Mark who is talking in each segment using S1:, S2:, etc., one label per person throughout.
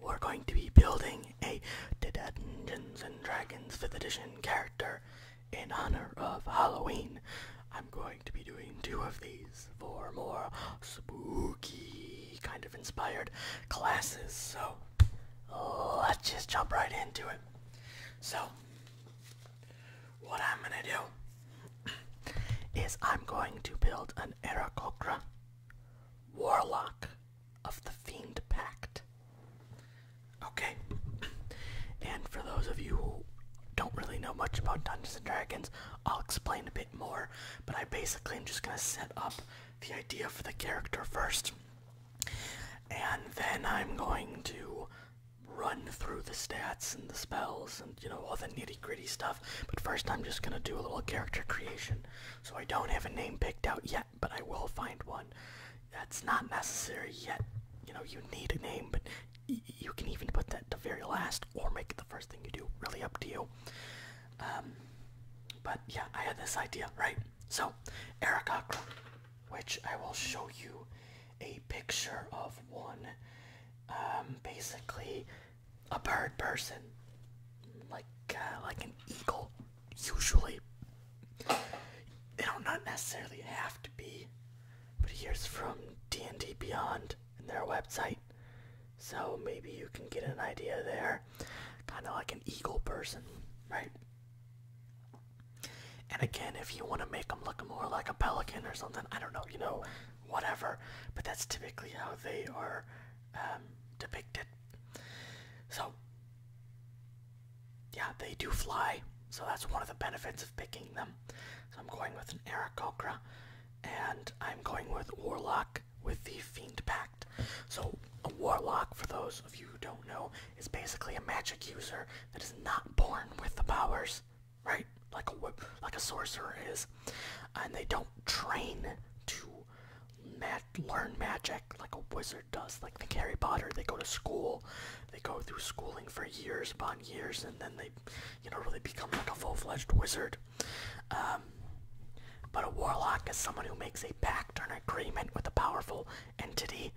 S1: we're going to be building a Dungeons and Dragons 5th edition character in honor of Halloween. I'm going to be doing two of these for more spooky kind of inspired classes. So let's just jump right into it. So what I'm gonna do is I'm going to build an Aarakocra warlock of the Fiend Pact. Okay, and for those of you who don't really know much about Dungeons and Dragons, I'll explain a bit more, but I basically am just gonna set up the idea for the character first, and then I'm going to run through the stats and the spells and you know all the nitty gritty stuff, but first I'm just gonna do a little character creation. So I don't have a name picked out yet, but I will find one. That's not necessary yet. You know, you need a name, but you can even put that to very last or make it the first thing you do. Really up to you. Um, but yeah, I had this idea, right? So, Eric Okra, which I will show you a picture of one. Um, basically, a bird person, like uh, like an eagle. Usually, they don't not necessarily have to be. But here's from D and D Beyond and their website, so maybe you can get an idea there. Kind of like an eagle person, right? And again, if you want to make them look more like a pelican or something, I don't know, you know, whatever. But that's typically how they are um, depicted. So, yeah, they do fly, so that's one of the benefits of picking them. So I'm going with an Aarakocra, and I'm going with Warlock with the Fiend Pact. So a Warlock, for those of you who don't know, is basically a magic user that is not born with the powers, right? Like a like a sorcerer is, and they don't train to learn magic like a wizard does, like the Harry Potter. They go to school, they go through schooling for years upon years, and then they, you know, really become
S2: like a full-fledged wizard. Um, but a warlock is someone who makes
S1: a pact or an agreement with a powerful entity.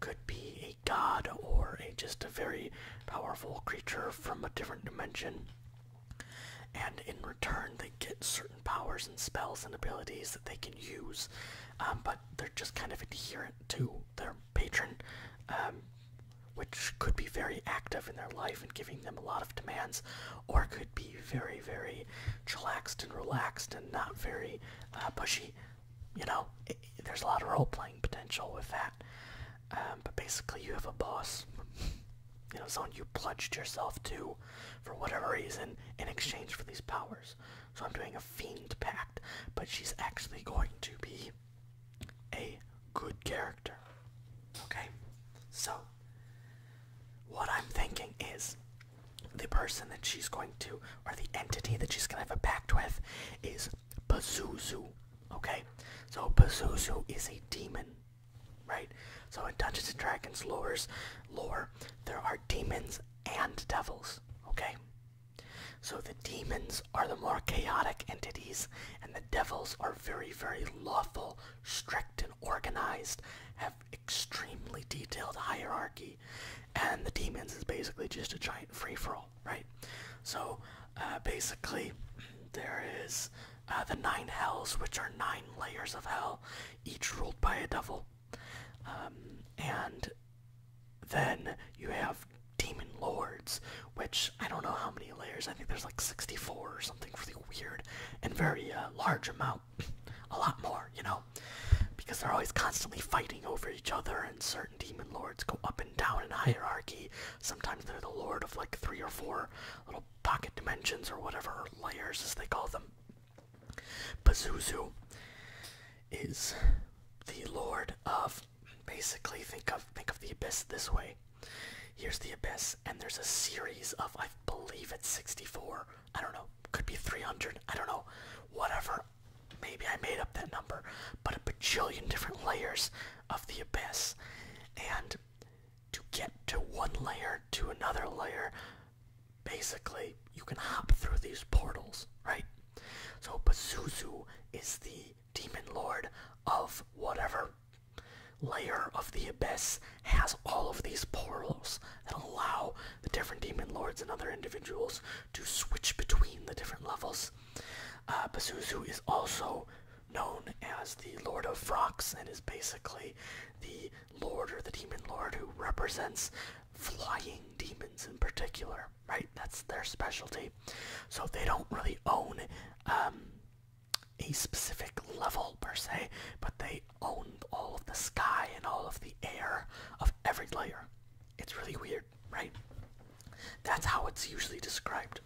S1: Could be a god or a just a very powerful creature from a different dimension and in return they get certain powers and spells and abilities that they can use um, but they're just kind of adherent to their patron um, which could be very active in their life and giving them a lot of demands or could be very very relaxed and relaxed and not very uh, pushy you know there's a lot of role-playing potential with that um, but basically you have a boss you know, someone you pledged yourself to for whatever reason in exchange for these powers. So I'm doing a fiend pact, but she's actually going to be a good character. Okay? So, what I'm thinking is the person that she's going to, or the entity that she's going to have a pact with, is Pazuzu. Okay? So, Pazuzu is a demon right? So in Dungeons and Dragons lore's lore, there are demons and devils, okay? So the demons are the more chaotic entities, and the devils are very, very lawful, strict and organized, have extremely detailed hierarchy, and the demons is basically just a giant free-for-all, right? So uh, basically, there is uh, the nine hells, which are nine layers of hell, each ruled by a devil. Um, and then you have demon lords, which I don't know how many layers. I think there's like 64 or something really weird and very uh, large amount. a lot more, you know, because they're always constantly fighting over each other, and certain demon lords go up and down in hierarchy. Sometimes they're the lord of like three or four little pocket dimensions or whatever layers as they call them. Pazuzu is the lord of basically think of think of the abyss this way. Here's the abyss and there's a series of I believe it's 64. I don't know. Could be 300. I don't know. Whatever. Maybe I made up that number, but a bajillion different layers of the abyss. And to get to one layer to another layer, basically you can hop through these portals, right? So Pazuzu is the demon lord of whatever layer of the abyss has all of these portals that allow the different demon lords and other individuals to switch between the different levels. Uh, Pazuzu is also known as the Lord of Rocks and is basically the lord or the demon lord who represents flying demons in particular, right? That's their specialty. So they don't really own um, a specific level per se, but they own all of the sky and all of the air of every layer. It's really weird, right? That's how it's usually described.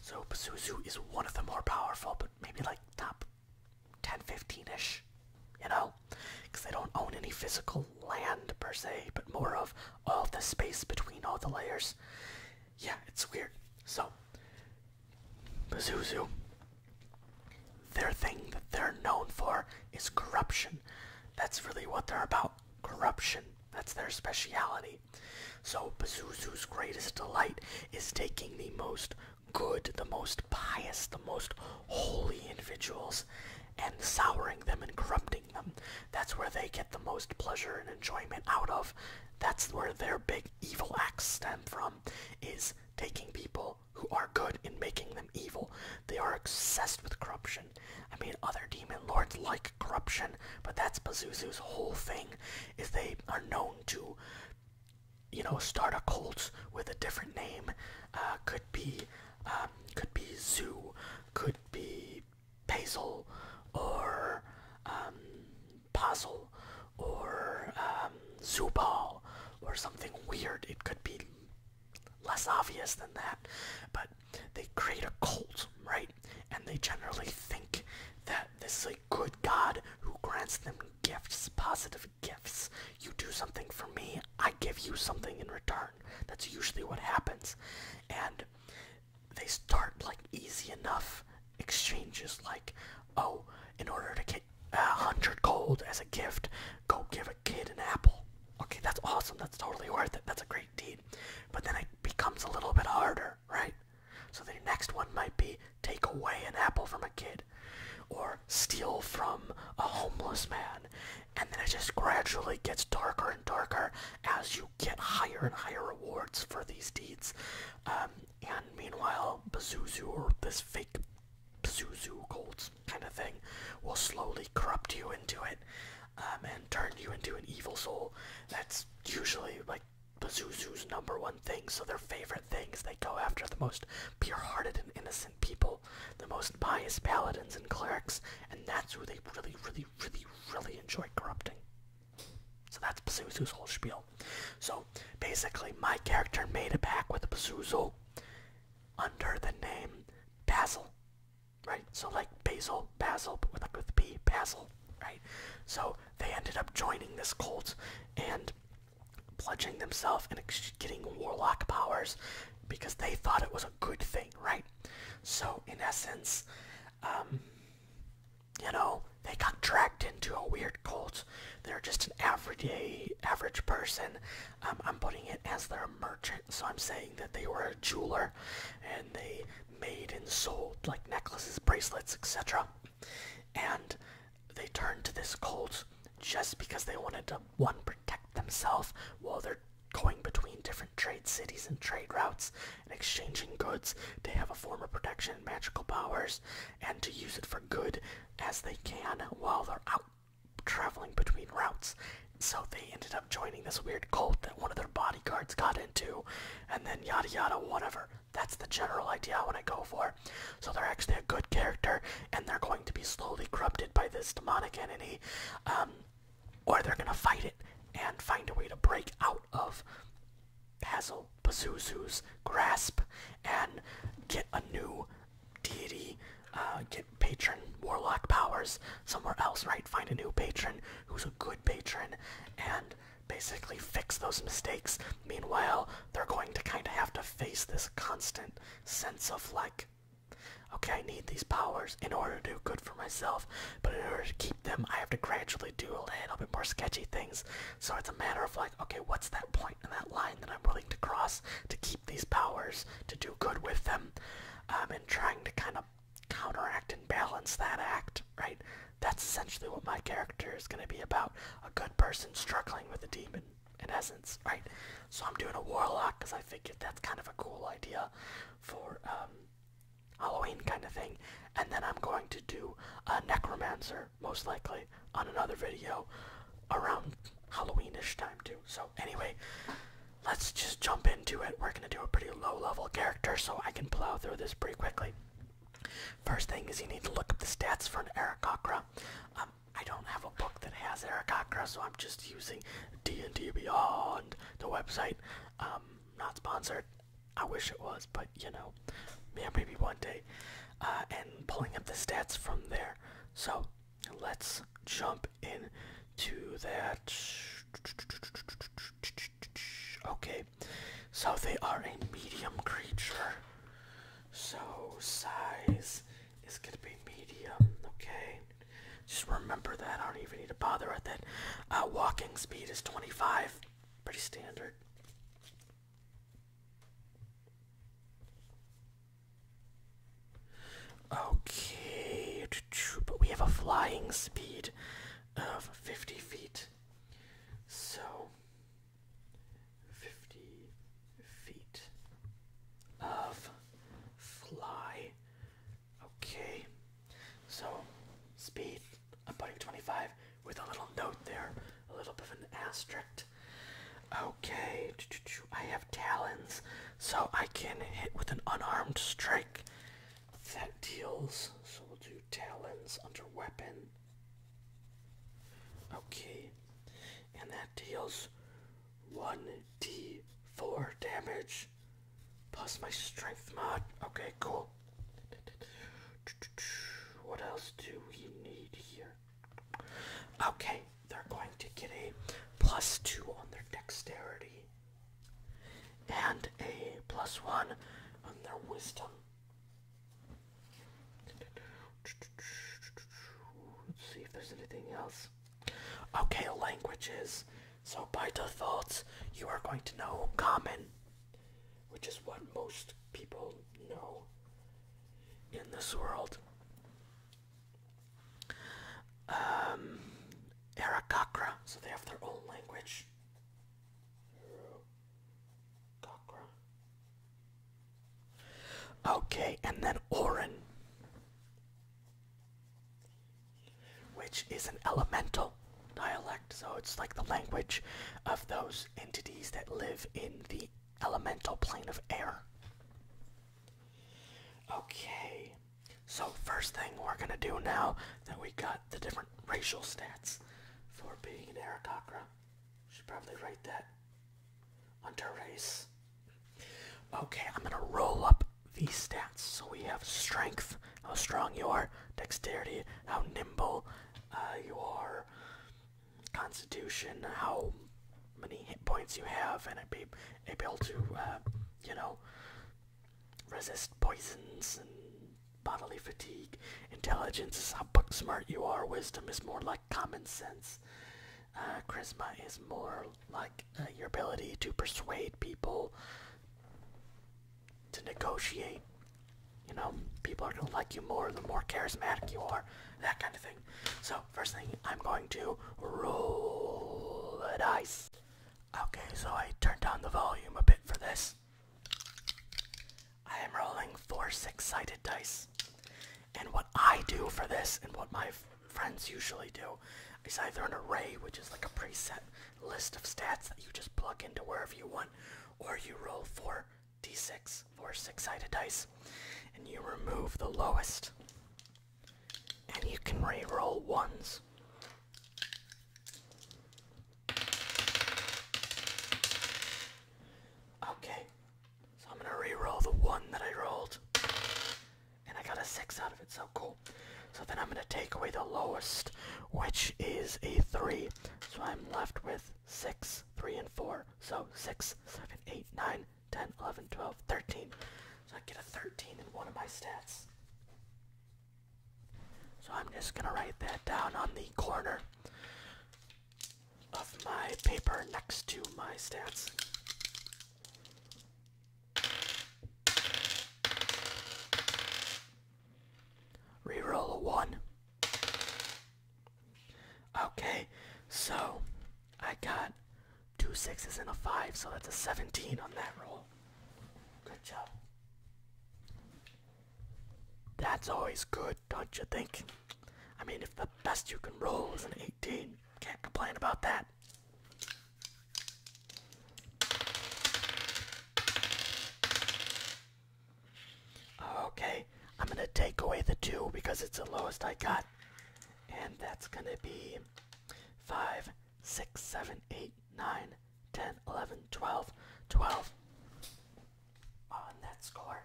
S1: So Pazuzu is one of the more powerful, but maybe like top up 10 15 ish you know because they don't own any physical land per se but more of all the space between all the layers yeah it's weird so
S2: Pazuzu, their thing that they're known for is corruption
S1: that's really what they're about corruption that's their speciality so Pazuzu's greatest delight is taking the most good, the most pious, the most holy individuals, and souring them and corrupting them. That's where they get the most pleasure and enjoyment out of. That's where their big evil acts stem from, is taking people who are good and making them evil. They are obsessed with corruption. I mean, other demon lords like corruption, but that's Pazuzu's whole thing, is they are known to you know, start a cult with a different name. Uh, could be, um, could be Zoo, could be Basil, or um, Puzzle, or um, or something weird. It could be less obvious than that, but they create a cult, right? And they generally think that this is good God who grants them gifts, positive gifts. You do something for me, I give you something in return. That's usually what happens. And they start like easy enough exchanges, like, oh, in order to get a hundred gold as a gift, go give a kid an apple. Okay, that's awesome. That's totally worth it. That's a great deed. But then it becomes a little bit harder right? So the next one might be take away an apple from a kid or steal from a homeless man. And then it just gradually gets darker and darker as you get higher and higher rewards for these deeds. Um, and meanwhile, Pazuzu, or this fake Pazuzu cult kind of thing, will slowly corrupt you into it um, and turn you into an evil soul. That's usually like the number one thing, so their favorite things. They go after the most pure-hearted and innocent people, the most pious paladins and clerics, and that's who they really, really, really, really enjoy corrupting. So that's Pazuzu's whole spiel. So basically, my character made a pact with a Pazuzu under the name Basil, right? So like Basil, Basil, but with like Basil, right? So they ended up joining this cult, and pledging themselves and getting warlock powers because they thought it was a good thing, right? So, in essence, um, you know, they got dragged into a weird cult. They're just an everyday, average person. Um, I'm putting it as their merchant, so I'm saying that they were a jeweler and they made and sold like necklaces, bracelets, etc. And they turned to this cult just because they wanted to one protect themselves while they're going between different trade cities and trade routes and exchanging goods they have a form of protection and magical powers and to use it for good as they can while they're out traveling between routes so they ended up joining this weird cult that one of their bodyguards got into and then yada yada whatever that's the general idea I want to go for. So they're actually a good character, and they're going to be slowly corrupted by this demonic entity, um, or they're going to fight it and find a way to break out of Hazel Pazuzu's grasp and get a new deity, uh, get patron warlock powers somewhere else, right? Find a new patron who's a good patron and basically fix those mistakes. Meanwhile, they're going to kind of have to face this constant sense of like, okay, I need these powers in order to do good for myself, but in order to keep them, I have to gradually do a little bit more sketchy things. So it's a matter of like, okay, what's that point in that line that I'm willing to cross to keep these powers, to do good with them, um, and trying to kind of counteract and balance that act, right? That's essentially what my character is going to be about. A good person struggling with a demon, in essence, right? So I'm doing a warlock because I figured that's kind of a cool idea for um, Halloween kind of thing. And then I'm going to do a necromancer, most likely, on another video around Halloweenish time too. So anyway, let's just jump into it. We're going to do a pretty low level character so I can plow through this pretty quickly. First thing is you need to look up the stats for an Aarakocra. Um, I don't have a book that has Ericacra, so I'm just using D&D Beyond, the website. Um, not sponsored. I wish it was, but you know, yeah, maybe one day. Uh, and pulling up the stats from there. So let's jump into that. Okay, so they are a medium creature. So size is gonna be medium. Okay, just remember that. I don't even need to bother with it. Uh, walking speed is 25, pretty standard. Okay, but we have a flying speed of 50 feet. So 50 feet of fly. Okay, so speed, I'm putting 25 with a little note there, a little bit of an asterisk. Okay, I have talons, so I can hit with an unarmed strike that deals. So we'll do talons under weapon. Okay, and that deals 1d4 damage plus my strength mod. Okay, cool. What else do we need here? Okay, they're going to get a plus 2 on their dexterity and a plus 1 on their wisdom. Let's see if there's anything else. Okay, languages. So by default, you are going to know common, which is what most people know in this world. Um, Arakakra, so they have their own language. Okay, and then Orin, which is an elemental dialect, so it's like the language of those entities that live in the elemental plane of air. Okay, so first thing we're gonna do now that we got the different racial stats for being an Arakakra should probably write that under race. Okay, I'm gonna roll up these stats. So we have strength, how strong you are, dexterity, how nimble uh, you are, constitution, how many hit points you have, and be able to, uh, you know, resist poisons and bodily fatigue. Intelligence is how book smart you are. Wisdom is more like common sense. Uh, charisma is more like uh, your ability to persuade people, to
S2: negotiate. You know, people are gonna like you more the more charismatic you are, that kind of thing. So first thing, I'm going to
S1: roll the dice. Okay, so I turned down the volume a bit for this. I am rolling four six sided dice. And what I do for this, and what my friends usually do, is either an array, which is like a preset list of stats that you just plug into wherever you want, or you roll four d6, four six sided dice, and you remove the lowest. And you can re roll ones. Okay, so I'm gonna re-roll the one that I rolled, and I got a six out of it. So cool. So then I'm gonna take away the lowest, which is a three. So I'm left with six, three, and four. So six, seven, eight, nine, 10, 11, 12, 13. So I get a 13 in one of my stats. So I'm just gonna write that down on the corner of my paper next to my stats. Reroll a one. Okay, so I got two sixes and a five, so that's a 17 on that roll. Good job. That's always good don't you think? I mean, if the best you can roll is an 18, can't complain about that. Okay, I'm gonna take away the 2 because it's the lowest I got. And that's gonna be five, six, seven, eight, nine, ten, eleven, twelve, twelve on that score.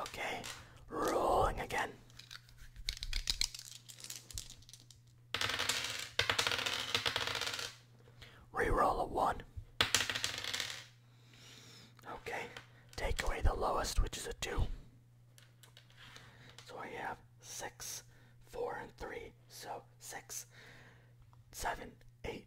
S1: Okay, rolling again. Reroll a one. Okay, take away the lowest, which is a two. So I have six, four, and three. So six, seven, eight,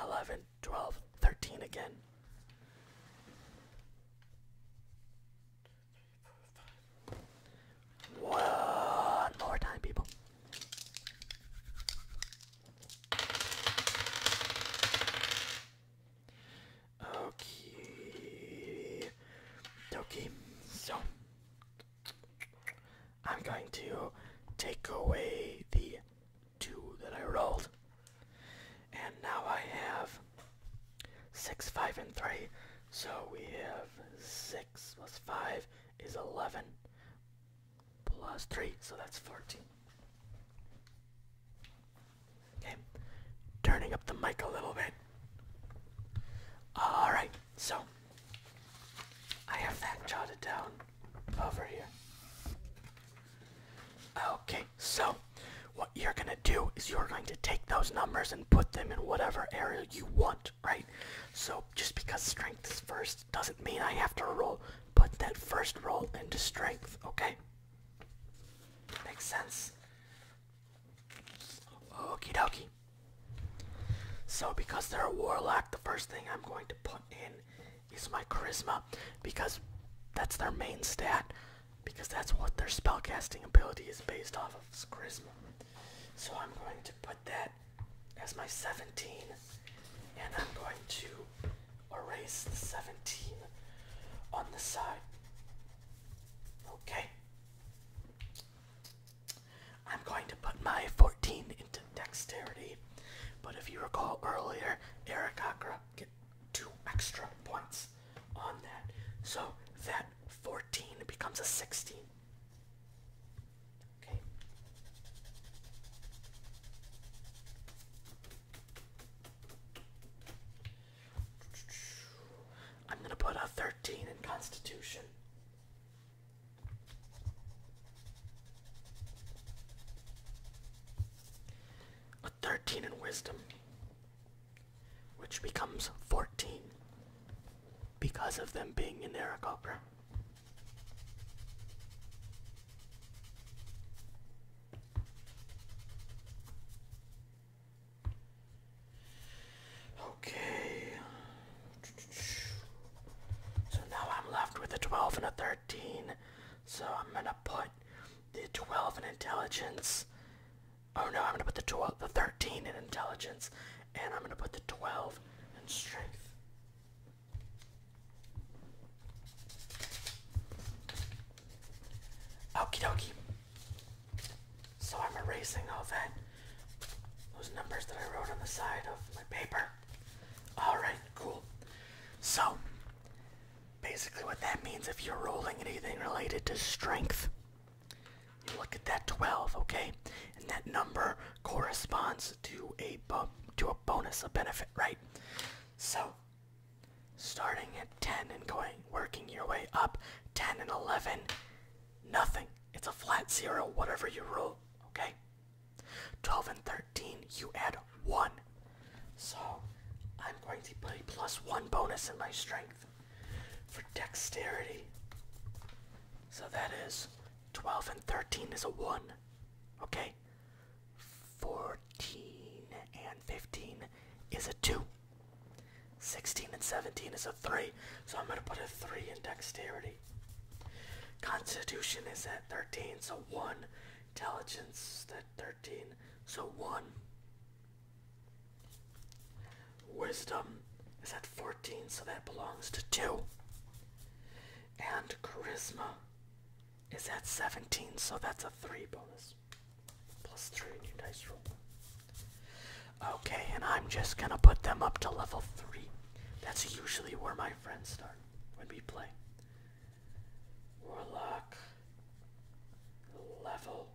S1: 11, 12, 13 again. One more time, people. Okay, okay. So I'm going to take away the two that I rolled. And now I have six, five, and three. So we have six plus five is 11 plus three, so that's 14. Okay, turning up the mic a little bit. Alright, so I have that jotted down over here. Okay, so what you're gonna do is you're going to take those numbers and put them in whatever area you want, right? So just because strength is first doesn't mean I have to roll. Put that first roll into strength, okay? Makes sense. Okie dokie. So because they're a warlock, the first thing I'm going to put in is my charisma because that's their main stat because that's what their spellcasting ability is based off of is charisma. So I'm going to put that as my 17 and I'm going to erase the 17 on the side. Okay. I'm going to put my 14 into dexterity. But if you recall earlier, Eric Akra get two extra points on that. So that 14 becomes a 16. Okay. I'm going to put a 13 in Constitution. A 13 in wisdom, which becomes 14 because of them being in Eric Opera. Okay. So now I'm left with a 12 and a 13. 13. So I'm gonna put the 12 in intelligence. Oh no, I'm gonna put the 12, the 13 in intelligence, and I'm gonna put the 12 in strength. Okie dokie. So I'm erasing all that, those numbers that I wrote on the side of my paper. All right, cool. So, basically, what that means if you're rolling anything related to strength, you look at that 12, okay? And that number corresponds to a to a bonus, a benefit, right? So, starting at 10 and going, working your way up, 10 and 11, nothing. It's a flat zero, whatever you roll, okay? 12 and 13, you add 1. So I'm going to put a plus 1 bonus in my strength for dexterity. So that is 12 and 13 is a 1. Okay? 14 and 15 is a 2. 16 and 17 is a 3. So I'm going to put a 3 in dexterity. Constitution is at 13, so 1 Intelligence at 13, so 1. Wisdom is at 14, so that belongs to 2. And Charisma is at 17, so that's a 3 bonus. Plus 3 in your dice roll. Okay, and I'm just gonna put them up to level 3. That's usually where my friends start when we play. Warlock level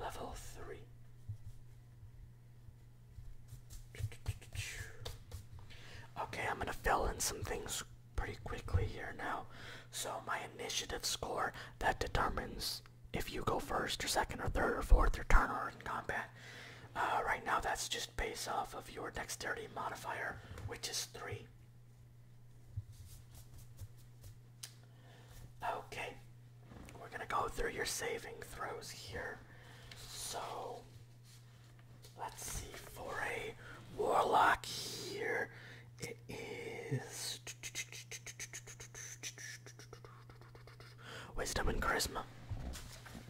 S1: level three. Okay, I'm gonna fill in some things pretty quickly here now. So my initiative score that determines if you go first or second or third or fourth or turn or in combat that. Uh, right now, that's just based off of your dexterity modifier, which is 3.
S2: Okay, we're going to go through your saving throws here. So, let's see, for a warlock here,
S1: it is wisdom and charisma.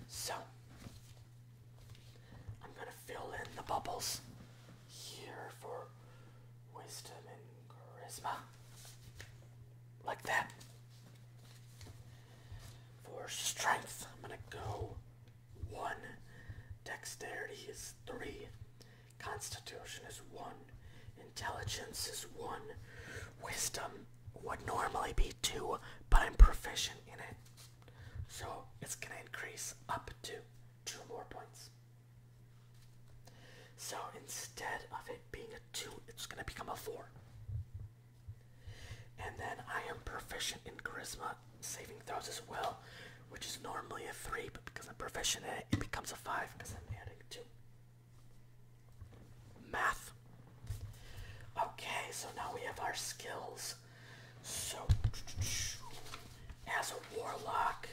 S1: So, I'm gonna fill in the bubbles here for wisdom and charisma. Like that. For strength, I'm gonna go one. Dexterity is three. Constitution is one. Intelligence is one. Wisdom would normally be two, but I'm proficient in it. So it's going to increase up to two more points. So instead of it being a two, it's going to become a four. And then I am proficient in charisma saving throws as well, which is normally a three,
S2: but because I'm proficient in it, it becomes a five because I'm adding two math. Okay,
S1: so now we have our skills. So,
S2: as a warlock,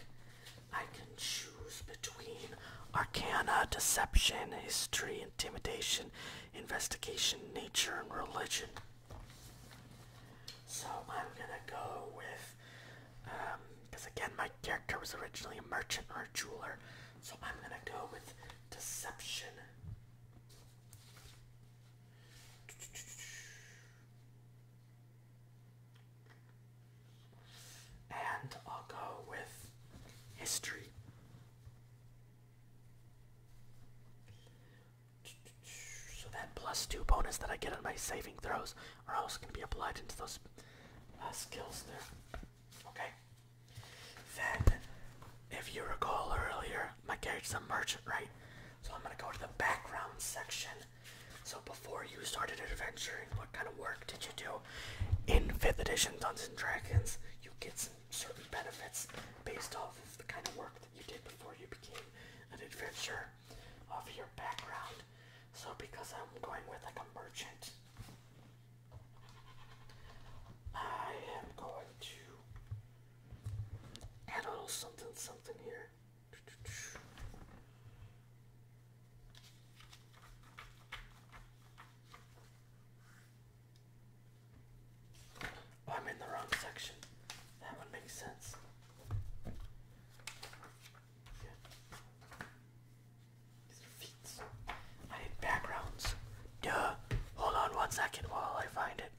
S2: I can choose between
S1: arcana, deception, history, intimidation, investigation, nature, and religion. So I'm gonna go with, because um, again, my character was originally a merchant or a jeweler, so I'm gonna go with deception. And I'll go with history. So that plus two bonus that I get on my saving throws are also going to be applied into those uh, skills there. Okay. Then, if you recall earlier, my character's a merchant, right? So I'm gonna go to the background section. So before you started adventuring, what kind of work did you do? In 5th edition Dungeons and Dragons, you get some certain benefits based off of the kind of work that you did before you became an adventurer of your background. So because I'm going with like a merchant, I am going to add a little something something here.
S2: Oh, I'm in the wrong section. That would make sense.
S1: I need backgrounds. Duh. Hold on one second while I find it.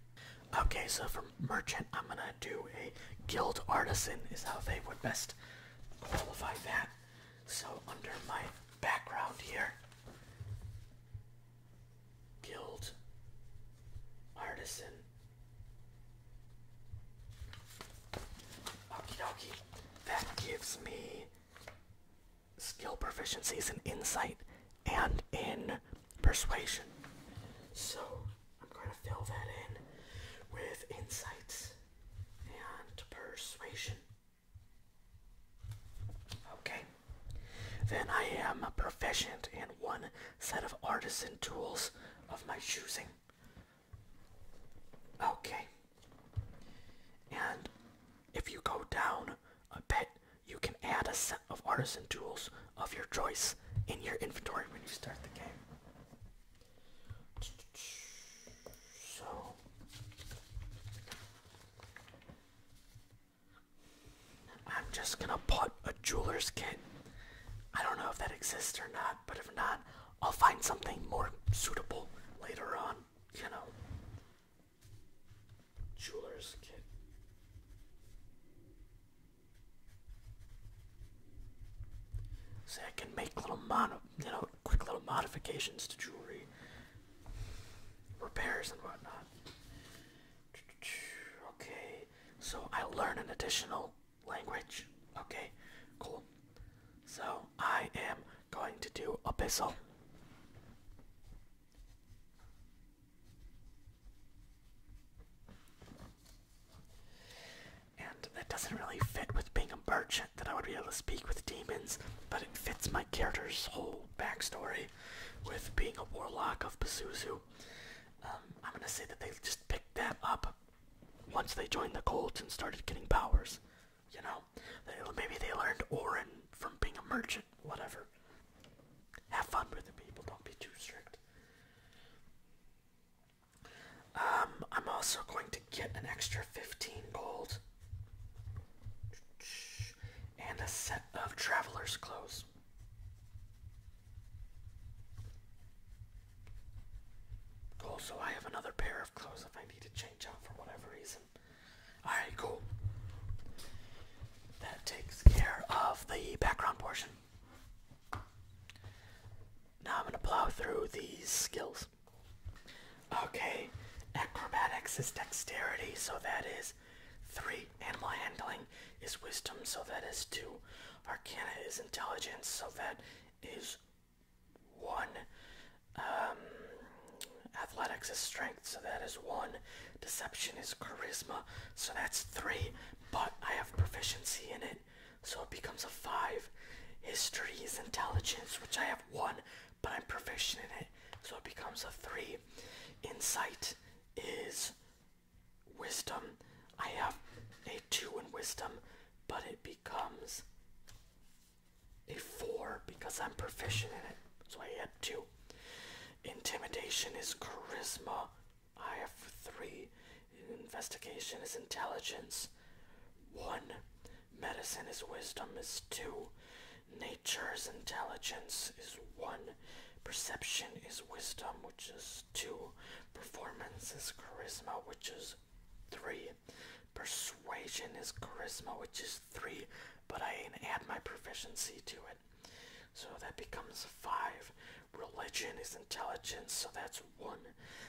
S1: Okay, so for merchant, I'm gonna do a guild artisan, is how they would best qualify that. So under my background here, guild artisan. Okie dokie. That gives me skill proficiencies in insight and in persuasion. So I'm going to fill that in with insights and persuasion. Okay. Then I am proficient in one set of artisan tools of my choosing. Okay. And if you go down I bet you can add a set of artisan tools of your choice in your inventory when you start the game. So. I'm just gonna put a jeweler's kit. I don't know if that exists or not, but if not, I'll find something more suitable later on, you know jeweler's kit. See, I can make little mod, you know, quick little modifications to jewelry, repairs and whatnot. Okay, so I learn an additional language. Okay, cool. So I am going to do abyssal. And that doesn't really fit with being a merchant that I would be able to speak with demons, but it fits my character's whole backstory with being a warlock of Pazuzu. Um, I'm gonna say that they just picked that up once they joined the cult and started getting powers. You know, they, maybe they learned Orin from being a merchant, whatever. Have fun with it, people. Don't be too strict. Um, I'm also going to get an extra 15 gold and a set of traveler's clothes. Also, I have another pair of clothes if I need to change out for whatever reason. Alright, cool. That takes care of the background portion. Now I'm going to plow through these skills. Okay, acrobatics is dexterity, so that is 3. Animal handling is wisdom, so that is 2. Arcana is intelligence, so that is 1. Um, athletics is strength, so that is one. Deception is charisma, so that's three. But I have proficiency in it, so it becomes a five. History is intelligence, which I have one, but I'm proficient in it, so it becomes a three. Insight is wisdom. I have a two in wisdom, but it becomes a four because I'm proficient in it, so I have two. Intimidation is charisma. I have three. Investigation is intelligence. One. Medicine is wisdom is two. Nature is intelligence is one. Perception is wisdom, which is two. Performance is charisma, which is three. Persuasion persuasion is charisma, which is three, but I add my proficiency to it. So that becomes five. Religion is intelligence, so that's one.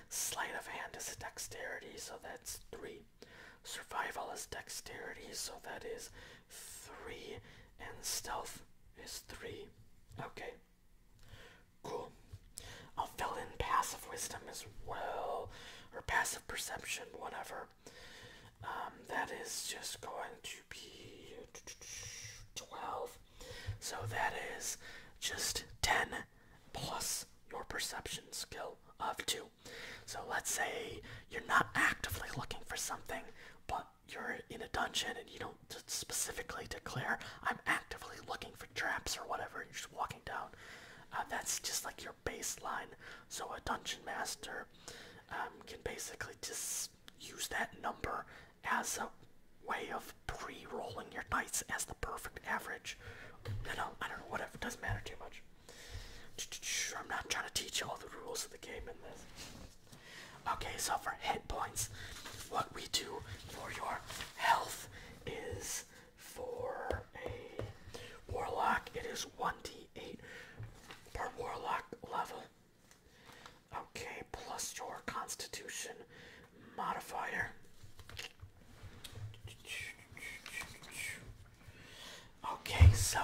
S1: Sleight of hand is dexterity, so that's three. Survival is dexterity, so that is three. And stealth is three. Okay. Cool. I'll fill in passive wisdom as well, or passive perception,
S2: whatever. Um, that is just going to be 12. So that is just 10 plus your perception skill of 2. So let's say you're not
S1: actively looking for something, but you're in a dungeon and you don't specifically declare, I'm actively looking for traps or whatever, and you're just walking down. Uh, that's just like your baseline so a dungeon master um, can basically just use that number as a way of pre-rolling your dice as the perfect average. No, no, I don't know, whatever, doesn't matter too much. I'm not trying to teach you all the rules of the game in this. Okay, so for hit points, what we do for your health is for a warlock, it is 1d 8 per warlock level. Okay, plus your constitution modifier. Okay, so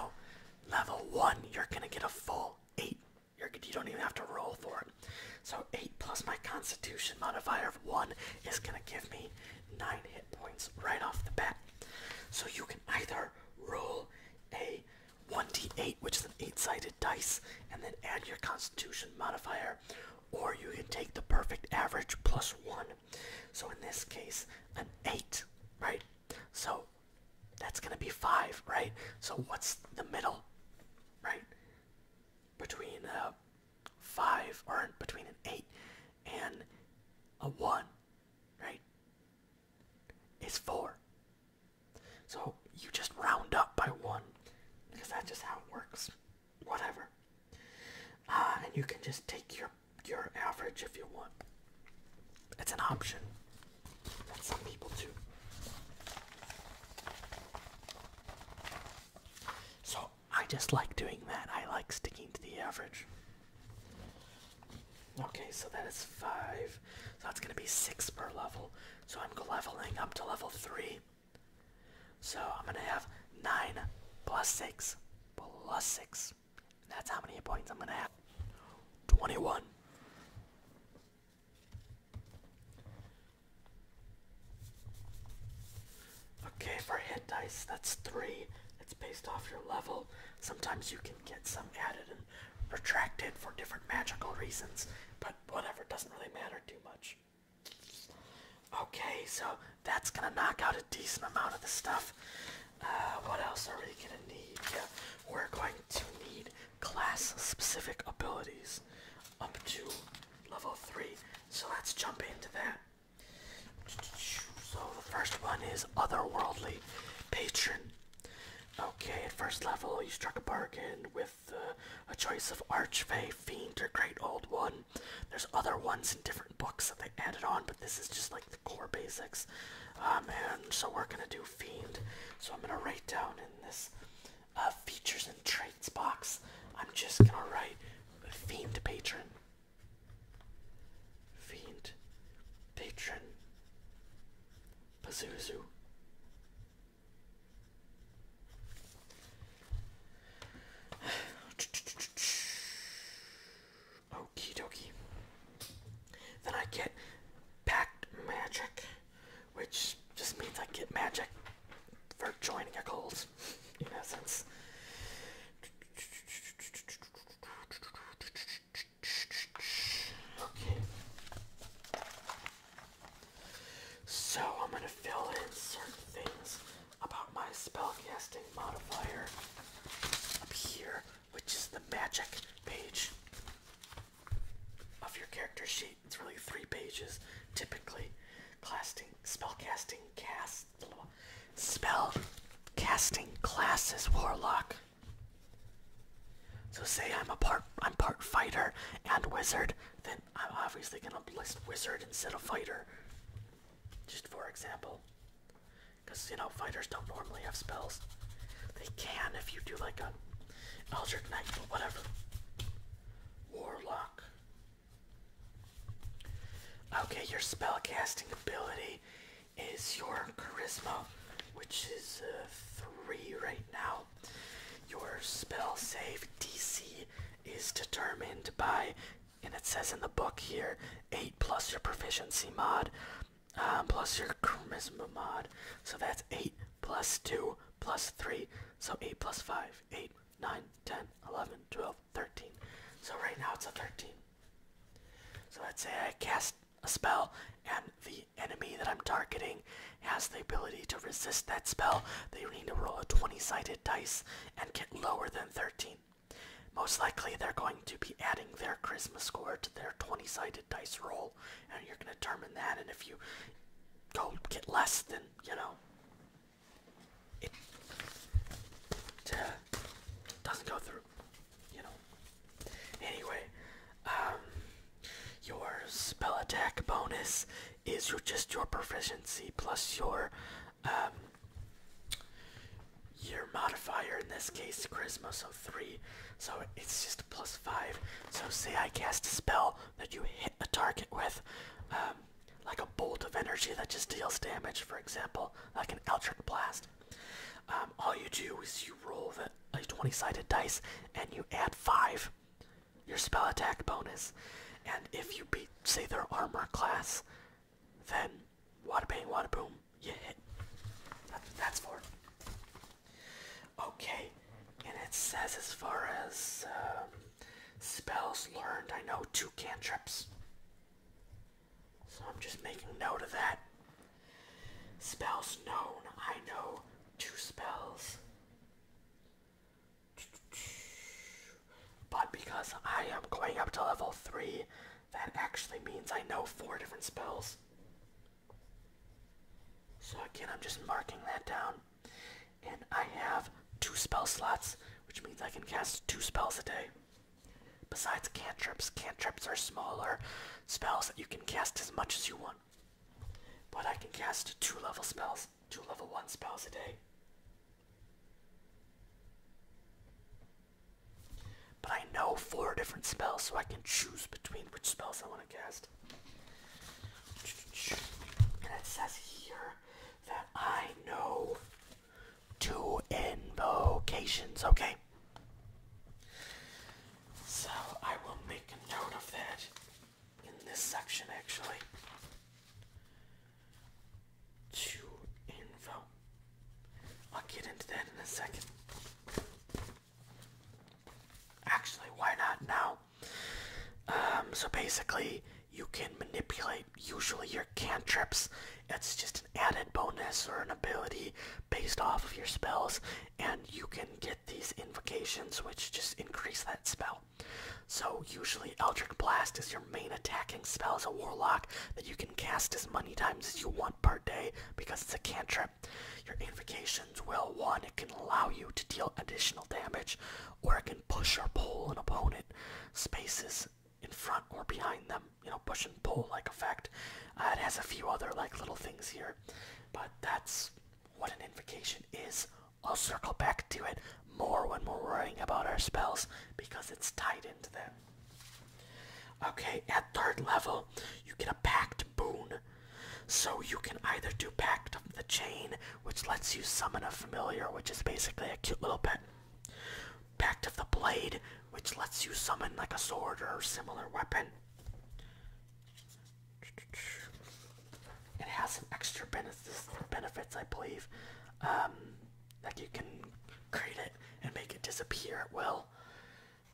S1: level one, you're gonna get a full eight. You're, you do not even have to roll for it. So eight plus my constitution modifier of one is gonna give me nine points right off the bat. So you can either roll a 1d8, which is an 8 sided dice, and then add your constitution modifier, or you can take the perfect average plus 1. So in this case, an 8, right? So that's going to be 5, right? So what's the middle, right? Between a 5 or between an 8 and a 1 right, is 4. So you just round up by 1 because that's just how it works. Whatever. Uh, and you can just take your your average if you want. It's an option some people do. So I just like doing that. I like sticking to the average. Okay, so that is five. So that's gonna be six per level. So I'm leveling up to level three. So I'm gonna have nine plus six plus six. that's how many points I'm gonna have. Twenty-one. Okay, for hit dice, that's three. It's based off your level. Sometimes you can get some added and retracted for different magical reasons, but whatever, doesn't really matter too much. Okay, so that's gonna knock out a decent amount of the stuff. Uh, what else are we gonna need? Yeah, we're going to need class-specific abilities up to level 3, so let's jump into that. So the first one is otherworldly patron. Okay, at first level, you struck a bargain with uh, a choice of archfey, fiend, or great old one. There's other ones in different books that they added on, but this is just like the core basics. Um, and so we're gonna do fiend. So I'm gonna write down in this uh, features and traits box. I'm just gonna write fiend patron. Fiend, Patron, Pazuzu. Okie dokie. Then I get Packed Magic, which just means I get magic for joining a cold,
S2: in essence. Okay.
S1: So I'm going to fill in certain things about my spellcasting modifier up here, which is the magic page of your character sheet. It's really three pages typically. casting, spellcasting casts Spell casting classes warlock. So say I'm a part I'm part fighter and wizard, then I'm obviously gonna list wizard instead of fighter. Just for example. Cause you know fighters don't normally have spells. They can if you do like a Eldritch Knight, or whatever. Warlock. Okay, your spell casting ability is your charisma, which is uh, three right now. Your spell save DC is determined by, and it says in the book here, eight plus your proficiency mod, um, plus your charisma mod. So that's eight plus two plus three. So eight plus five, eight, nine, ten, eleven, twelve. 13. So right now it's a 13. So let's say I cast a spell and the enemy that I'm targeting has the ability to resist that spell. They need to roll a 20-sided dice and get lower than 13. Most likely they're going to be adding their charisma score to their 20-sided dice roll and you're going to determine that and if you go get less than, you know, it doesn't go through you know. Anyway, um, your spell attack bonus is your just your proficiency plus your um, your modifier in this case charisma, so three. So it's just plus five. So say
S2: I cast a spell that you hit a target with, um, like a bolt of energy
S1: that just deals damage. For example, like an Eldritch Blast. Um, all you do is you roll a 20 sided dice and you add 5, your spell attack bonus. And if you beat, say, their armor class, then wada bang, wada boom, you hit. That's what that's for. Okay, and it says as far as uh, spells learned, I know two cantrips. So I'm just making note of that. Spells known. I know two spells. But because I am going up to level 3, that actually means I know four different spells. So again, I'm just marking that down. And I have two spell slots, which means I can cast two spells a day. Besides cantrips, cantrips are smaller spells that you can cast as much as you want. But I can cast two level spells, two level one spells a day. But I know four different spells, so I can choose between which spells I want to cast. And it says here that I know two invocations, okay? So I will make a note of that in this section actually. Two info. I'll get into that in a second. Actually, why not now? Um, so basically, you can manipulate usually your cantrips, it's just an added bonus or an ability based off of your spells, and you can get these invocations which just increase that spell. So usually Eldritch Blast is your main attacking spell as a warlock that you can cast as many times as you want per day because it's a cantrip. Your invocations will one, it can allow you to deal additional damage, or it can push or pull an opponent spaces in front or behind them, you know, push and pull like effect. Uh, it has a few other like little things here, but that's what an invocation is. I'll circle back to it more when we're worrying about our spells because it's tied into them. Okay, at third level, you get a Pact boon. So you can either do Pact of the Chain, which lets you summon a familiar, which is basically a cute little pet. Back to the Blade, which lets you summon like a sword or similar weapon. It has some extra benefits, benefits I believe. Um, like you can create it and make it disappear at will,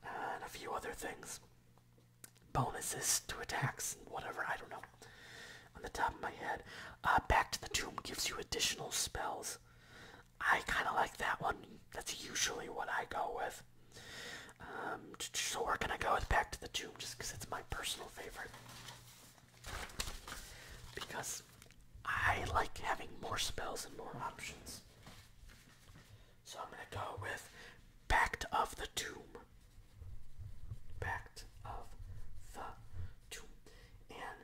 S1: uh, and a few other things. Bonuses to attacks and whatever, I don't know. On the top of my head, uh, Back to the Tomb gives you additional spells. I kind of like that one. That's usually what I go with. Um, so we're gonna go with Back to the Tomb just because it's my personal favorite. Because I like having more spells and more options. So I'm gonna go with Pact of the Tomb. Pact of the Tomb. And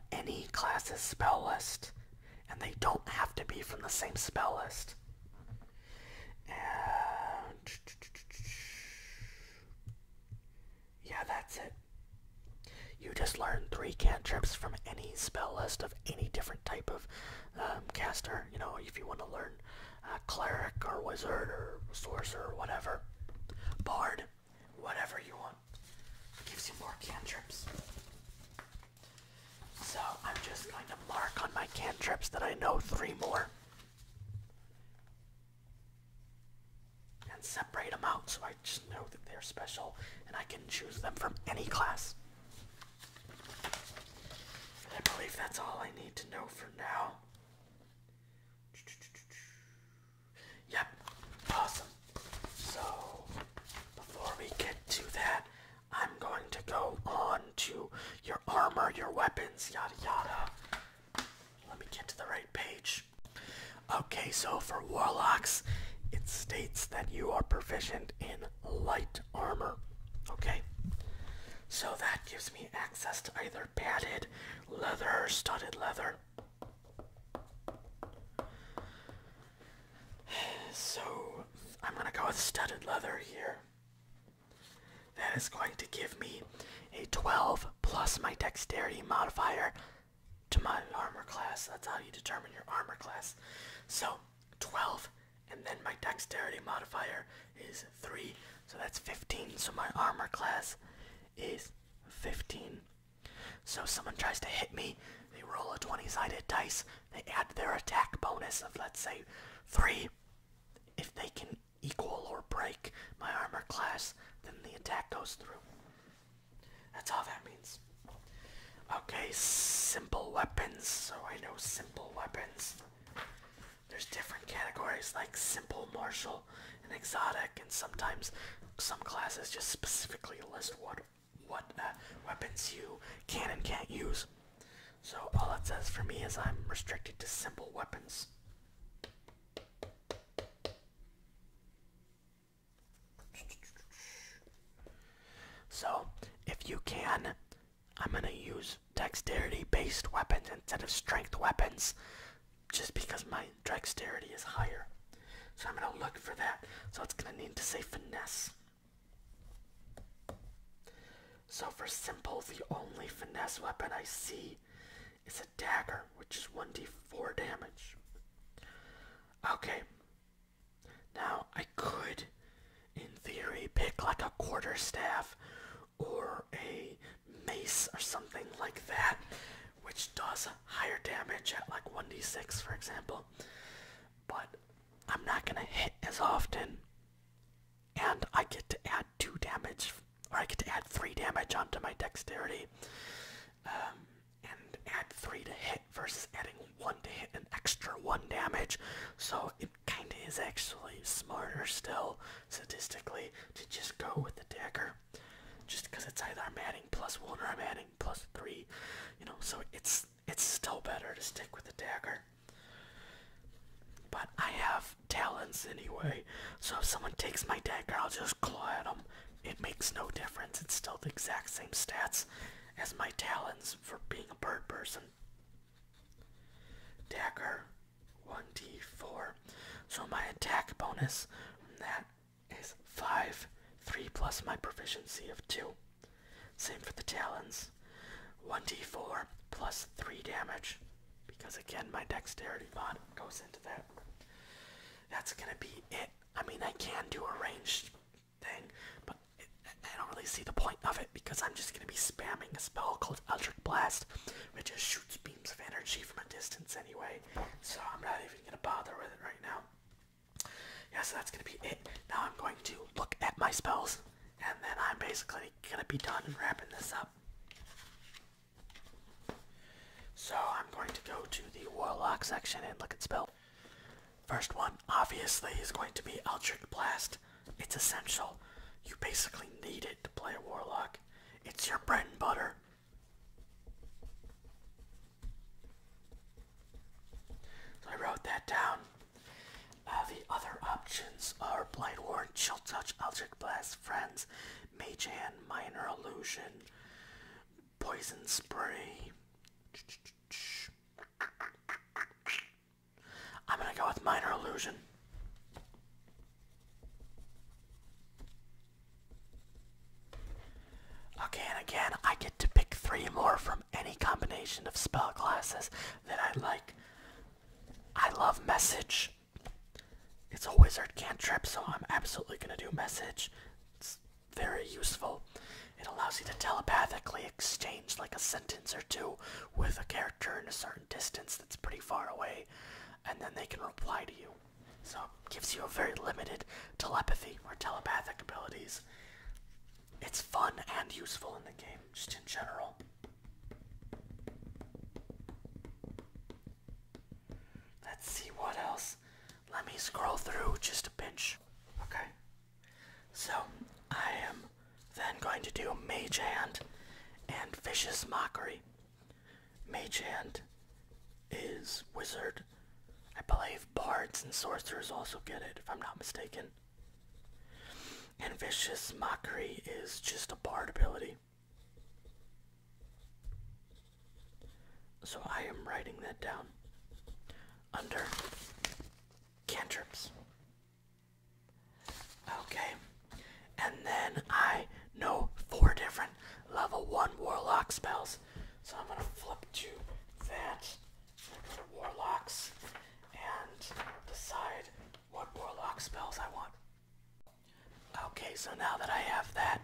S1: any classes spell list, and they don't have to be from the same spell list. yeah, that's it. You just learn three cantrips from any spell list of any different type of um, caster. You know, if you want to learn uh, cleric or wizard or sorcerer or whatever, bard whatever you want. it Gives you more cantrips. So I'm just going to mark on my cantrips that I know three more. And separate them out so I just know that they're special and I can choose them from any class. I believe that's all I need to know for now. Yep, awesome. So, before we get to that, I'm going to go on to your armor, your weapons, yada yada. Let me get to the right page. Okay, so for warlocks, it states that you are proficient in light armor. Okay? So that gives me access to either padded leather or studded leather. So I'm gonna go with studded leather here. That is going to give me a 12 plus my dexterity modifier to my armor class.
S2: That's how you determine your armor class. So 12 and then my dexterity modifier is 3. So
S1: that's 15. So my armor class is 15. So someone tries to hit me, they roll a 20-sided dice, they add their attack bonus of let's say 3. If they can equal or break my armor class, then the attack goes through. That's all that means. Okay, simple weapons. So I know simple weapons. There's different categories like simple, martial, and exotic, and sometimes some classes just specifically list one what uh, weapons you can and can't use. So all it says for me is I'm restricted to simple weapons. So if you can, I'm gonna use dexterity based weapons instead of strength weapons just because my dexterity is higher. So I'm going to look for that. So it's going to need to say finesse. So for simple, the only finesse weapon I see is a dagger, which is 1d4 damage. Okay. Now I could, in theory, pick like a quarterstaff or a mace or something like that, which does higher damage at like 1d6 for example but i'm not going to hit as often and i get to add 2 damage or i get to add 3 damage onto my dexterity um, and add 3 to hit versus adding 1 to hit an extra 1 damage so it kind of is actually smarter still statistically to just go with the dagger just because
S2: it's either i'm adding plus 1 or i'm adding plus three, you know, so it's it's still better
S1: to stick with the dagger. But I have talons anyway, so if someone takes my dagger, I'll just claw at them. It makes no difference. It's still the exact same stats as my talons for being a bird person. Dagger 1d4. So my attack bonus from that is 5, 3 plus my proficiency of 2. Same for the talons. 1d4 plus 3 damage, because again, my dexterity mod goes into that. That's gonna be it. I mean, I can do a ranged thing, but I don't really see the point of it because I'm just gonna be spamming a spell called Eldritch Blast, which just shoots beams of energy from a distance anyway. So I'm not even gonna bother with it right now. Yeah, so that's going to be it. Now I'm going to look at my spells, and then I'm basically going to be done and wrapping this up. So I'm going to go to the Warlock section and look at spells. First one, obviously, is going to be Eldritch Blast. It's essential. You basically need it to play Warlock. It's your bread and butter. So I wrote that down. Uh, the other options are Blight Warren, Chill Touch, Eldritch Blast, Friends, Mage Hand, Minor Illusion, Poison Spray. I'm gonna go with Minor Illusion. Okay, and again, I get to pick three more from any combination of spell classes that I like. I love message. It's a wizard cantrip, so I'm absolutely gonna do message. It's very useful. It allows you to telepathically exchange like a sentence or two with a character in a certain distance that's pretty far away, and then they can reply to you. So it gives you a very limited telepathy or telepathic abilities. It's fun and useful in the game, just in general. Let's see what
S2: else. Let me scroll through just a pinch. Okay. So I am then going to do Mage
S1: Hand and Vicious Mockery. Mage Hand is wizard. I believe bards and sorcerers also get it, if I'm not mistaken. And vicious mockery is just a bard ability. So I am writing that down under cantrips. Okay. And then I know four different level 1 warlock spells. So I'm going to flip to that. warlocks and decide what warlock spells I want. Okay, so now that I have that,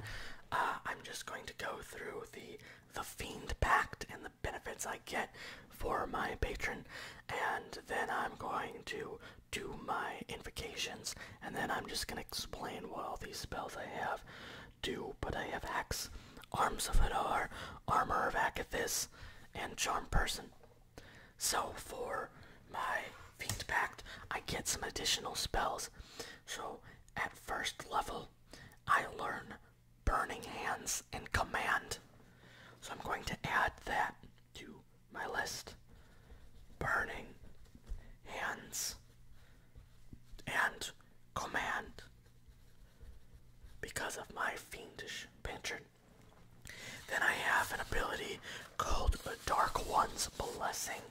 S1: uh, I'm just going to go through the the Fiend Pact and the benefits I get for my patron, and then I'm going to do my invocations, and then I'm just going to explain what all these spells I have do, but I have axe, arms of Hadar, armor of Akathis, and charm person. So for my Fiend Pact, I get some additional spells. So at first level, I learn Burning Hands and Command. So I'm going to add that to my list. Burning Hands and command because of my fiendish patron, Then I have an ability called the Dark One's Blessing.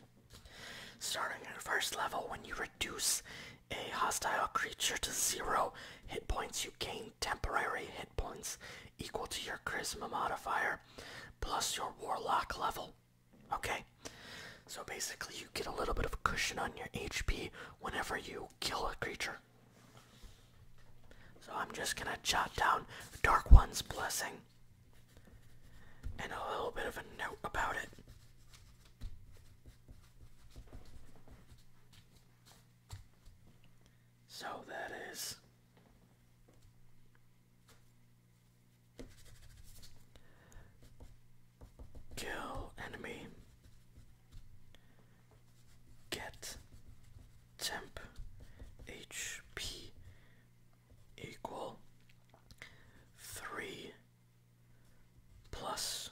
S1: Starting at first level, when you reduce a hostile creature to zero hit points, you gain temporary hit points equal to your charisma modifier plus your warlock level. Okay? So basically, you get a little bit of cushion on your HP whenever you kill a creature. So I'm just gonna jot down Dark One's Blessing and a little bit of a note about it. So that is Kill enemy. Get temp HP equal three plus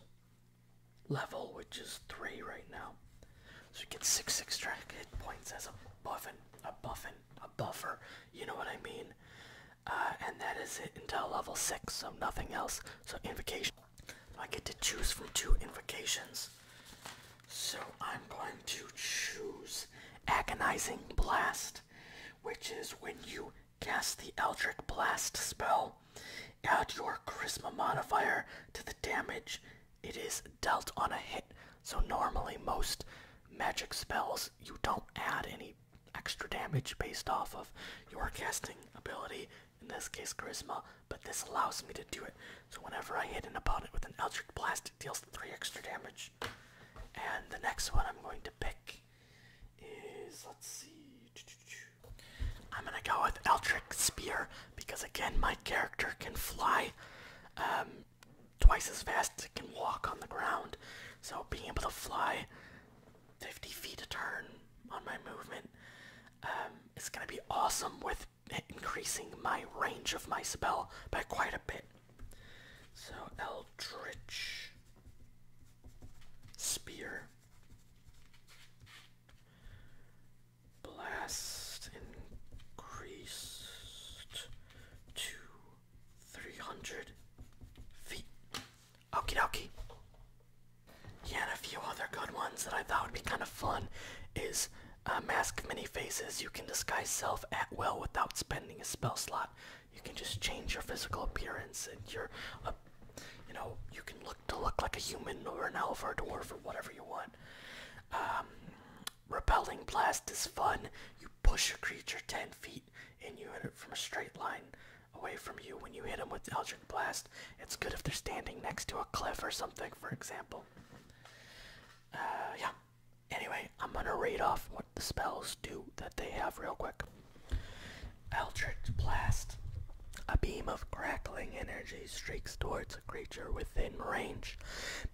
S1: level, which is three right now.
S2: So you get six extra hit points as a buffin, a buffin, a buffer. You know what I mean?
S1: Uh, and that is it until level 6, so nothing else. So, invocation. I get to choose from two invocations. So, I'm going to choose Agonizing Blast, which is when you cast the Eldritch Blast spell, add your Charisma modifier to the damage it is dealt on a hit. So, normally, most magic spells, you don't add any extra damage based off of your casting ability, in this case charisma, but this allows me to do it. So whenever I hit an opponent with an Eldritch Blast, it deals 3 extra damage. And the next one I'm going to pick is, let's see, I'm gonna go with Eldritch Spear, because again, my character can fly um, twice as fast as it can walk on the ground. So being able to fly 50 feet a turn on my movement. Um, it's going to be awesome with increasing my range of my spell by quite a bit. So, Eldritch Spear. Blast increased to 300 feet. Okie dokie. Yeah, and a few other good ones that I thought would be kind of fun is uh, mask many faces. You can disguise self at will without spending a spell slot. You can just change your physical appearance, and you're, a, uh, you know, you can look to look like a human or an elf or a dwarf or whatever you want. Um, repelling blast is fun. You push a creature ten feet and you hit it from a straight line away from you when you hit them with Eldritch Blast. It's good if they're standing next to a cliff or something, for example. Uh, yeah. Anyway, I'm gonna read off what the spells do that they have real quick. Eldritch Blast. A beam of crackling energy streaks towards a creature within range,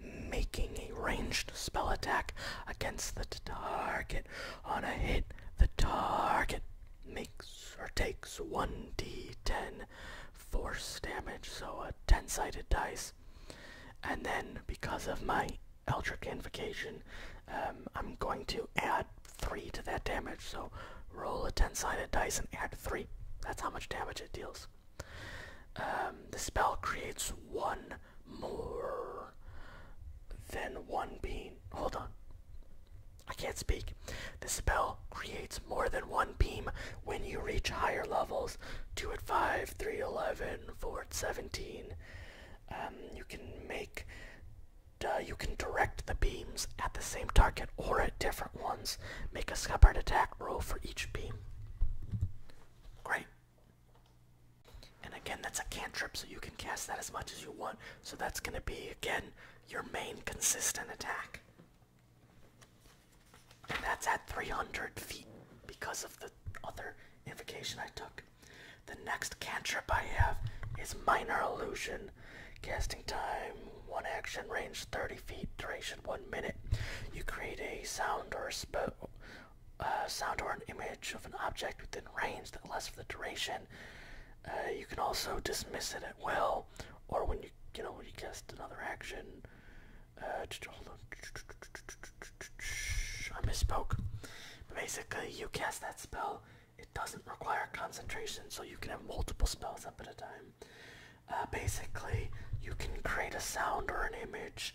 S1: making a ranged spell attack against the target on a hit. The target makes or takes 1d10 force damage, so a 10 sided dice. And then, because of my Eldritch Invocation, um, I'm going to add 3 to that damage, so roll a 10 sided dice and add 3. That's how much damage it deals. Um, the spell creates one more than one beam. Hold on. I can't speak. The spell creates more than one beam when you reach higher levels. 2 at 5, 3 11, 4 at 17. Um, you can make, uh, you can direct the beams at the same target or at different ones. Make a separate attack roll for each beam. Great. And again, that's a cantrip, so you can cast that as much as you want. So that's going to be, again, your main consistent attack. And that's at 300 feet because of the other invocation I took. The next cantrip I have is Minor Illusion. Casting time, one action, range 30 feet, duration one minute. You create a sound or a spell uh, sound or an image of an object within range that lasts for the duration. Uh, you can also dismiss it at will, or when you you know you cast another action. Uh, I misspoke. basically, you cast that spell. It doesn't require concentration, so you can have multiple spells up at a time. Uh, basically, you can create a sound or an image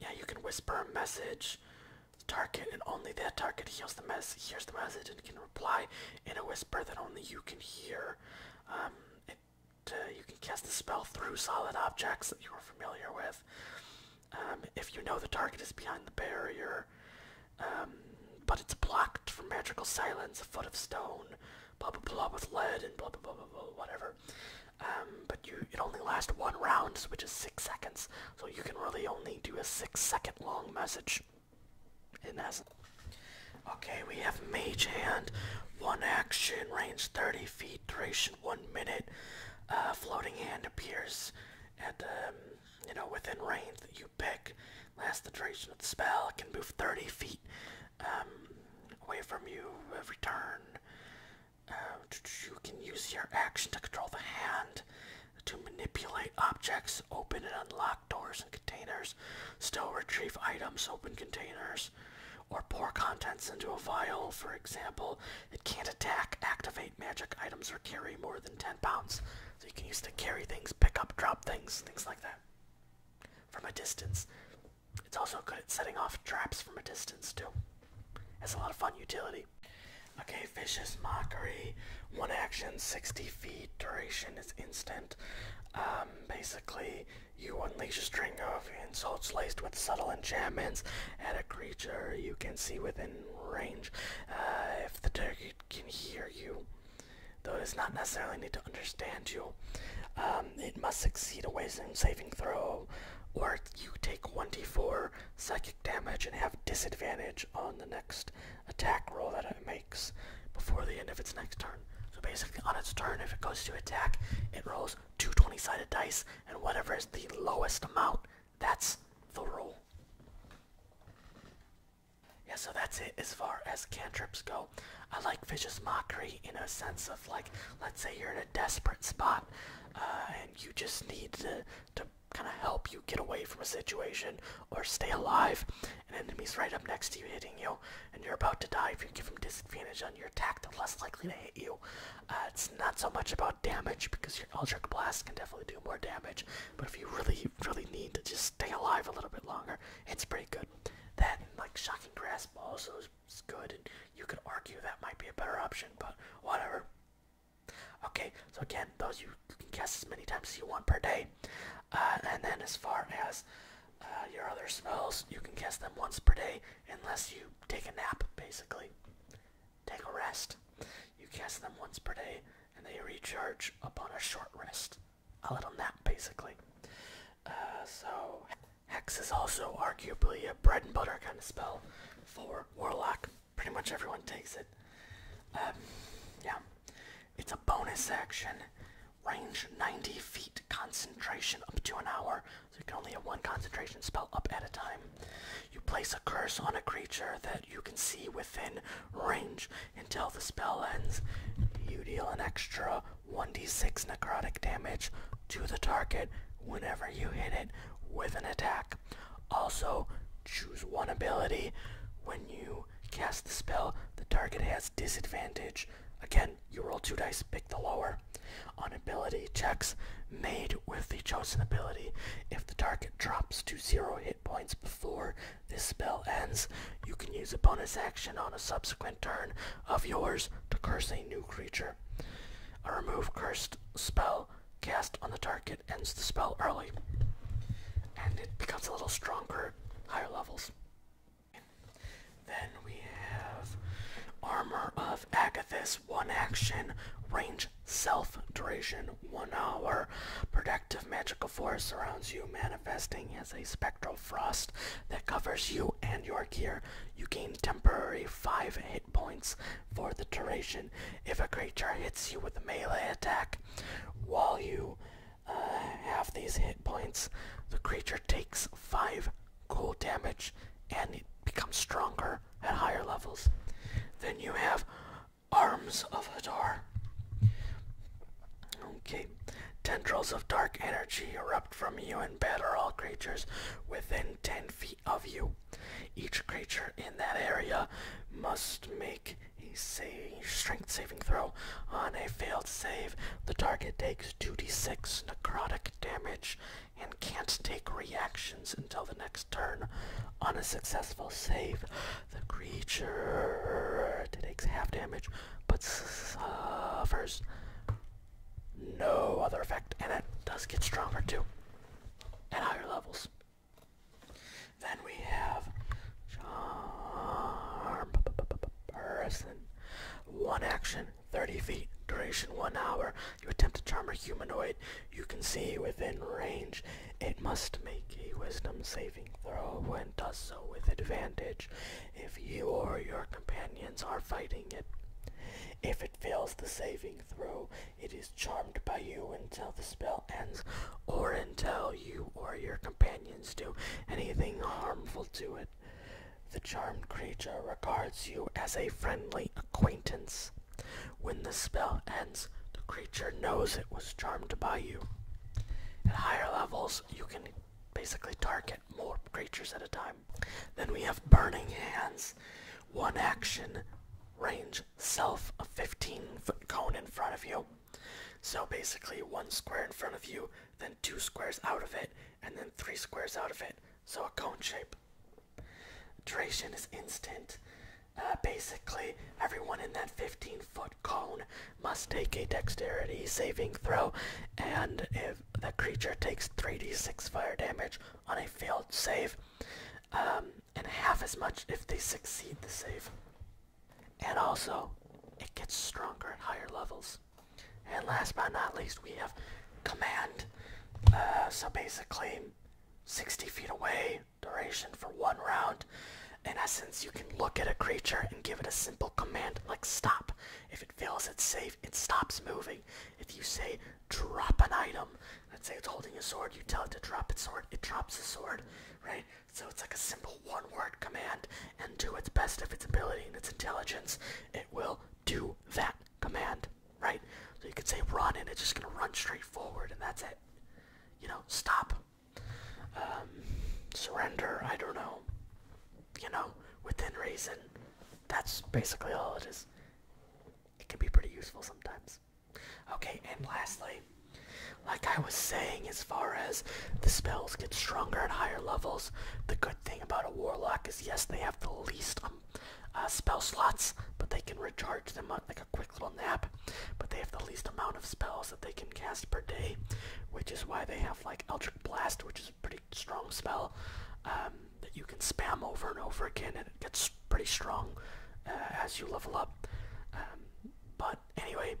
S1: yeah, you can whisper a message to target, and only that target hears the message. Hears the message and can reply in a whisper that only you can hear. Um, it, uh, you can cast the spell through solid objects that you are familiar with. Um, if you know the target is behind the barrier, um, but it's blocked from magical silence, a foot of stone, blah blah blah with lead and blah blah blah blah, blah whatever. Um, but you it only lasts one round, which is six seconds. So you can really only do a six-second long message. In essence. Okay, we have Mage Hand, one action, range 30 feet, duration one minute. Uh, floating hand appears at um, you know within range that you pick. Last the duration of the spell. It can move 30 feet um, away from you every turn. Um, you can use your action to control the hand to manipulate objects, open and unlock doors and containers, still retrieve items, open containers, or pour contents into a vial. For example, it can't attack, activate magic items, or carry more than 10 pounds. So you can use to carry things, pick up, drop things, things like that from a distance. It's also good at setting off traps from a distance too. It's a lot of fun utility. Okay, Vicious Mockery. One action, 60 feet. Duration is instant. Um, basically, you unleash a string of insults laced with subtle enchantments at a creature you can see within range. Uh, if the target can hear you, though it does not necessarily need to understand you, um, it must succeed a wisdom saving throw or you take 1d4 psychic damage and have disadvantage on the next attack roll that it makes before the end of its next turn. So basically, on its turn, if it goes to attack, it rolls two 20 sided dice, and whatever is the lowest amount, that's the roll. Yeah, so that's it as far as cantrips go. I like Vicious Mockery in a sense of like, let's say you're in a desperate spot uh, and you just need to, to kind of help you get away from a situation or stay alive. An enemy's right up next to you hitting you and you're about to die. If you give them disadvantage on your attack, they're less likely to hit you. Uh, it's not so much about damage because your Eldritch Blast can definitely do more damage, but if you really, really need to just stay alive a little bit longer, it's pretty good. That like Shocking Grasp also is it's good, you could argue that might be a better option, but whatever. Okay, so again, those you can guess as many times as you want per day. Uh, and then as far as uh, your other smells, you can guess them once per day unless you take a nap, basically. Take a rest. You guess them once per day, and they recharge upon a short rest.
S2: A little nap, basically. Uh, so... Hex is also arguably a
S1: bread and butter kind of spell for Warlock. Pretty much everyone takes it. Um, yeah. It's a bonus action. Range 90 feet, concentration up to an hour. So you can only have one concentration spell up at a time. You place a curse on a creature that you can see within range until the spell ends. You deal an extra 1d6 necrotic damage to the target whenever you hit it with an attack. Also, choose one ability. When you cast the spell, the target has disadvantage. Again, you roll two dice, pick the lower. On ability checks made with the chosen ability, if the target drops to zero hit points before this spell ends, you can use a bonus action on a subsequent turn of yours to curse a new creature. A remove cursed spell cast on the target ends the spell early. And it becomes a little stronger higher levels. Then we have Armor of Agathis, one action, range self, duration one hour. Protective magical force surrounds you, manifesting as a spectral frost that covers you and your gear. You gain temporary 5 hit points for the duration. If a creature hits you with a melee attack while you uh, have these hit points, the creature takes 5 cool damage and it becomes stronger at higher levels. Then you have Arms of Hadar. Okay. Tendrils of dark energy erupt from you and batter all creatures within 10 feet of you. Each creature in that area must make a say strength saving throw. On a failed save, the target takes 2d6 necrotic damage and can't take reactions until the next turn. On a successful save, the creature takes half damage but suffers no other effect, and it does get stronger too at higher levels. Then we have Charm Person. One action, 30 feet, duration 1 hour. You attempt to charm a humanoid you can see within range. It must make a wisdom saving throw and does so with advantage if you or your companions are fighting it. If it fails the saving throw, it is charmed by you until the spell ends, or until you or your companions do anything harmful to
S2: it. The charmed creature regards you as a friendly acquaintance.
S1: When the spell ends, the creature knows it was charmed by you. At higher levels, you can basically target more creatures at a time. Then we have Burning Hands. One action, range, self, a 15 foot cone in front of you. So basically, one square in front of you, then two squares out of it, and then three squares out of it. So a cone shape. Duration is instant. Uh, basically, everyone in that 15 foot cone must take a dexterity saving throw, and if the creature takes 3d6 fire damage on a failed save, um, and half as much if they succeed the save. And also, it gets stronger at higher levels. And last but not least, we have command. Uh, so basically, 60 feet away, duration for one round. In essence, you can look at a creature and give it a simple command like stop. If it fails its save, it stops moving. If you say drop an item, let's say it's holding a sword, you tell it to drop its sword, it drops the sword, right? So it's like a simple one word command, and do its best of its ability and its intelligence, it will do that command, right? So you could say run, and it's just gonna run straight forward, and that's it. You know, stop. Um, surrender, I don't know. You know, within reason. That's basically all it is it can be pretty useful sometimes. Okay, and lastly, like
S2: I was saying, as far as the spells get stronger at higher levels, the good thing about a
S1: warlock is yes, they have the least um, uh, spell slots, but they can recharge them like a quick little nap. But they have the least amount of spells that they can cast per day, which is why they have like Eldritch Blast, which is pretty strong spell um, that you can spam over and over again, and it gets pretty strong uh, as you level up. Um, but anyway,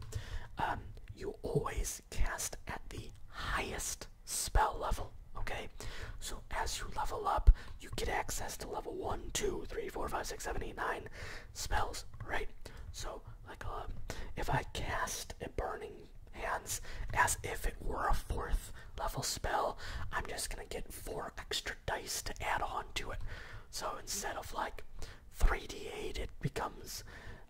S1: um, you always cast at the highest spell level, okay? So as you level up, you get access to level 1, 2, 3, 4, 5, 6, 7, 8, 9 spells, right? So, like, uh, if I cast a Burning hands as if it were a fourth level spell. I'm just gonna get four extra dice to add on to it. So instead of like 3d8, it becomes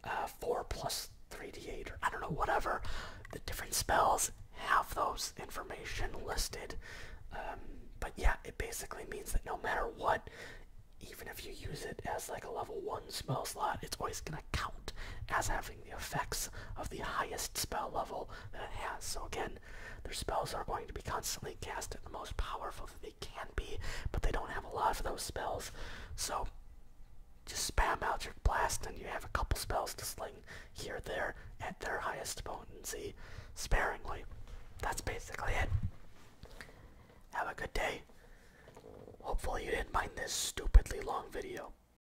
S1: uh, 4 plus 3d8 or I don't know, whatever. The different spells have those information listed. Um, but yeah, it basically means that no matter what, even if you use it as like a level 1 spell slot, it's always going to count as having the effects of the highest spell level that it has. So again, their spells are going to be constantly cast at the most powerful that they can be, but they don't have a lot of those spells. So just spam out your blast and you have a couple spells to sling here there at their highest potency sparingly. That's basically it.
S2: Have a good day. Hopefully you didn't mind this stupidly long video.